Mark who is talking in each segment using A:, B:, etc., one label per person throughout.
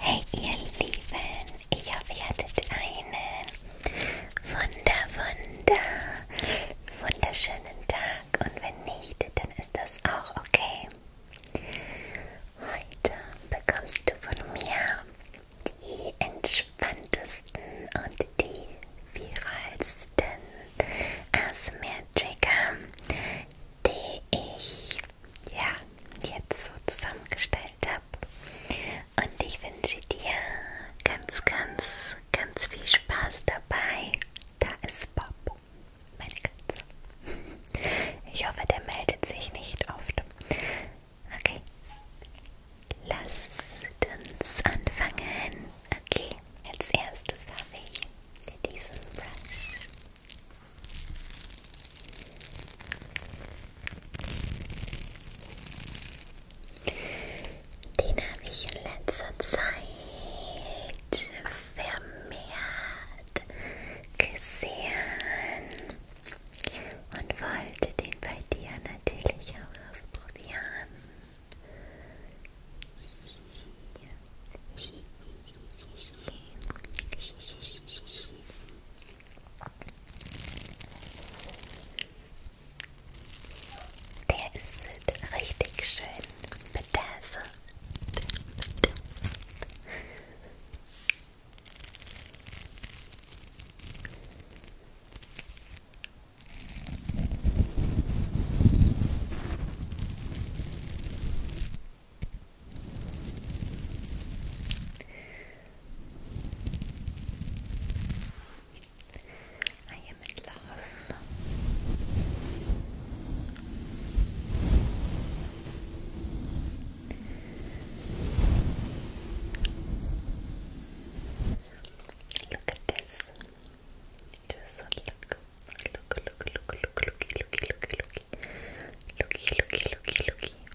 A: Hey ihr Lieben, ich hoffe ihr hattet einen wunder, wunder, wunderschönen Tag und wenn nicht, dann ist das auch okay. Heute bekommst du von mir die entspanntesten und die viralsten ASMR-Trigger, die ich ja, jetzt so zusammengestellt habe. Und ich wünsche dir ganz, ganz, ganz viel Spaß dabei. Da ist Bob, meine Katze. Ich hoffe, der meldet sich nicht oft. Okay, lasst uns anfangen. Okay, als erstes habe ich diesen Brush. Den habe ich in letzter Zeit vermehrt gesehen und wollte den bei dir natürlich auch ausprobieren. Der ist richtig schön betasselt. I am in love. Look at this. Just look. Look, look, look, look, looky, looky, looky, looky. Looky, looky, looky, looky.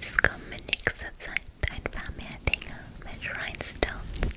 A: Es kommen in nächster Zeit ein paar mehr Dinge mit Rhinestones.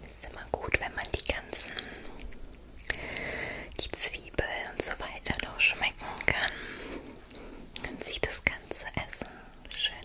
A: Es ist immer gut, wenn man die ganzen, die Zwiebel und so weiter noch schmecken kann. Dann sieht das ganze Essen schön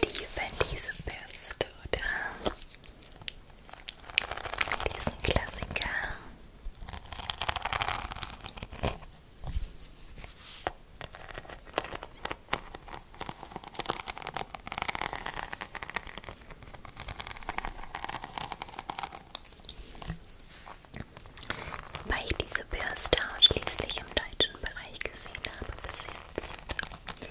A: Wir lieben diese Bürste, oder? Diesen Klassiker. Weil ich diese Bürste ausschließlich im deutschen Bereich gesehen habe bis jetzt.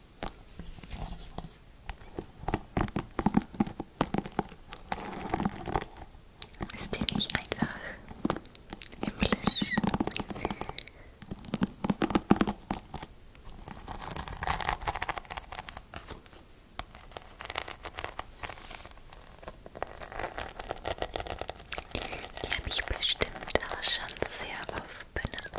A: Ist die nicht einfach himmlisch? Die habe ich bestimmt auch schon sehr oft benutzt.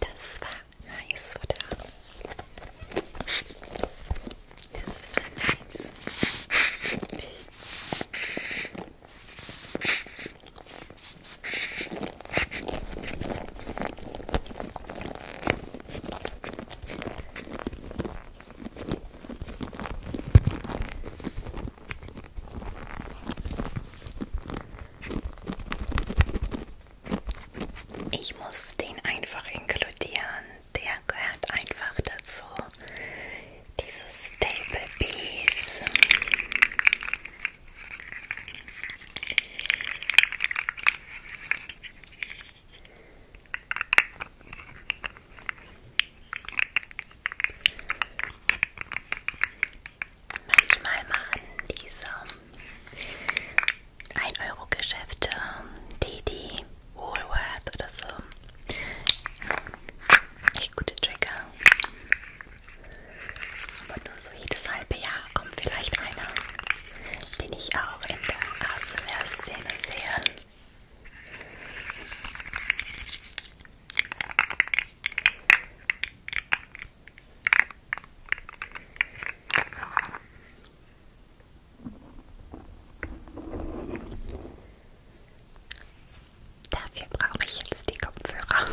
A: Das war nice, oder? Yes, nice. Ich muss den einfach inkludieren der gehört einfach dazu. Dieses Stable Piece. Manchmal machen diese 1-Euro-Geschäfte, Didi, Woolworth oder so. Echt gute Trigger. Aber nur so jedes halbe Jahr kommt vielleicht einer, den ich auch in der ASMR-Szene sehe. Dafür brauche ich jetzt die Kopfhörer.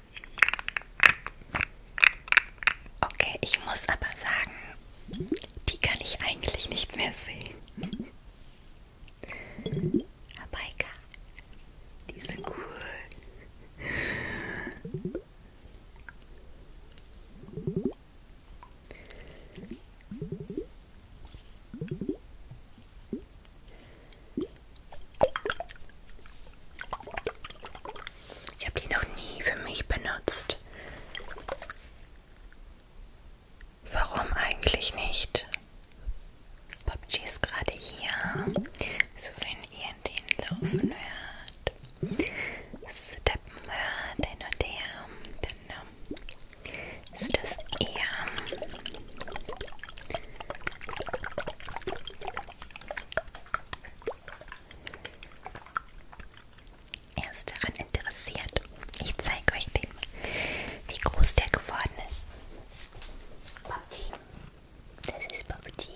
A: Okay, ich muss aber sagen, die kann ich eigentlich nicht mehr sehen. Aber egal, die sind cool. Ich habe die noch nie für mich benutzt. Warum eigentlich nicht? PUBG ist gerade hier, so wenn ihr den laufen hört, steppen hört, hin und her, dann um, ist das eher er ist daran interessiert. Ich zeige euch den, wie groß der geworden ist. Babji. Das ist Babji.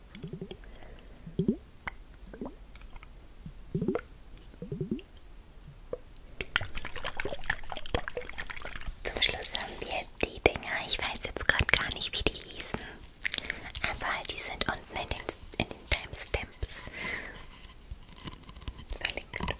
A: Zum Schluss haben wir die Dinger, ich weiß jetzt gerade gar nicht, wie die hießen, aber die sind unten in den, in den Timestamps verlinkt. Genau.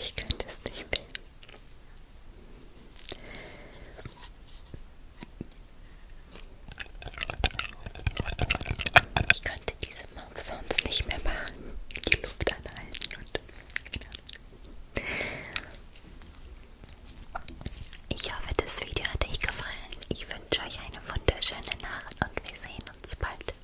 A: Ich kann das nicht mehr. Ich konnte diese Mouth sonst nicht mehr machen. Die Luft anhalten und. Genau. Ich hoffe, das Video hat euch gefallen. Ich wünsche euch eine wunderschöne Nacht und wir sehen uns bald.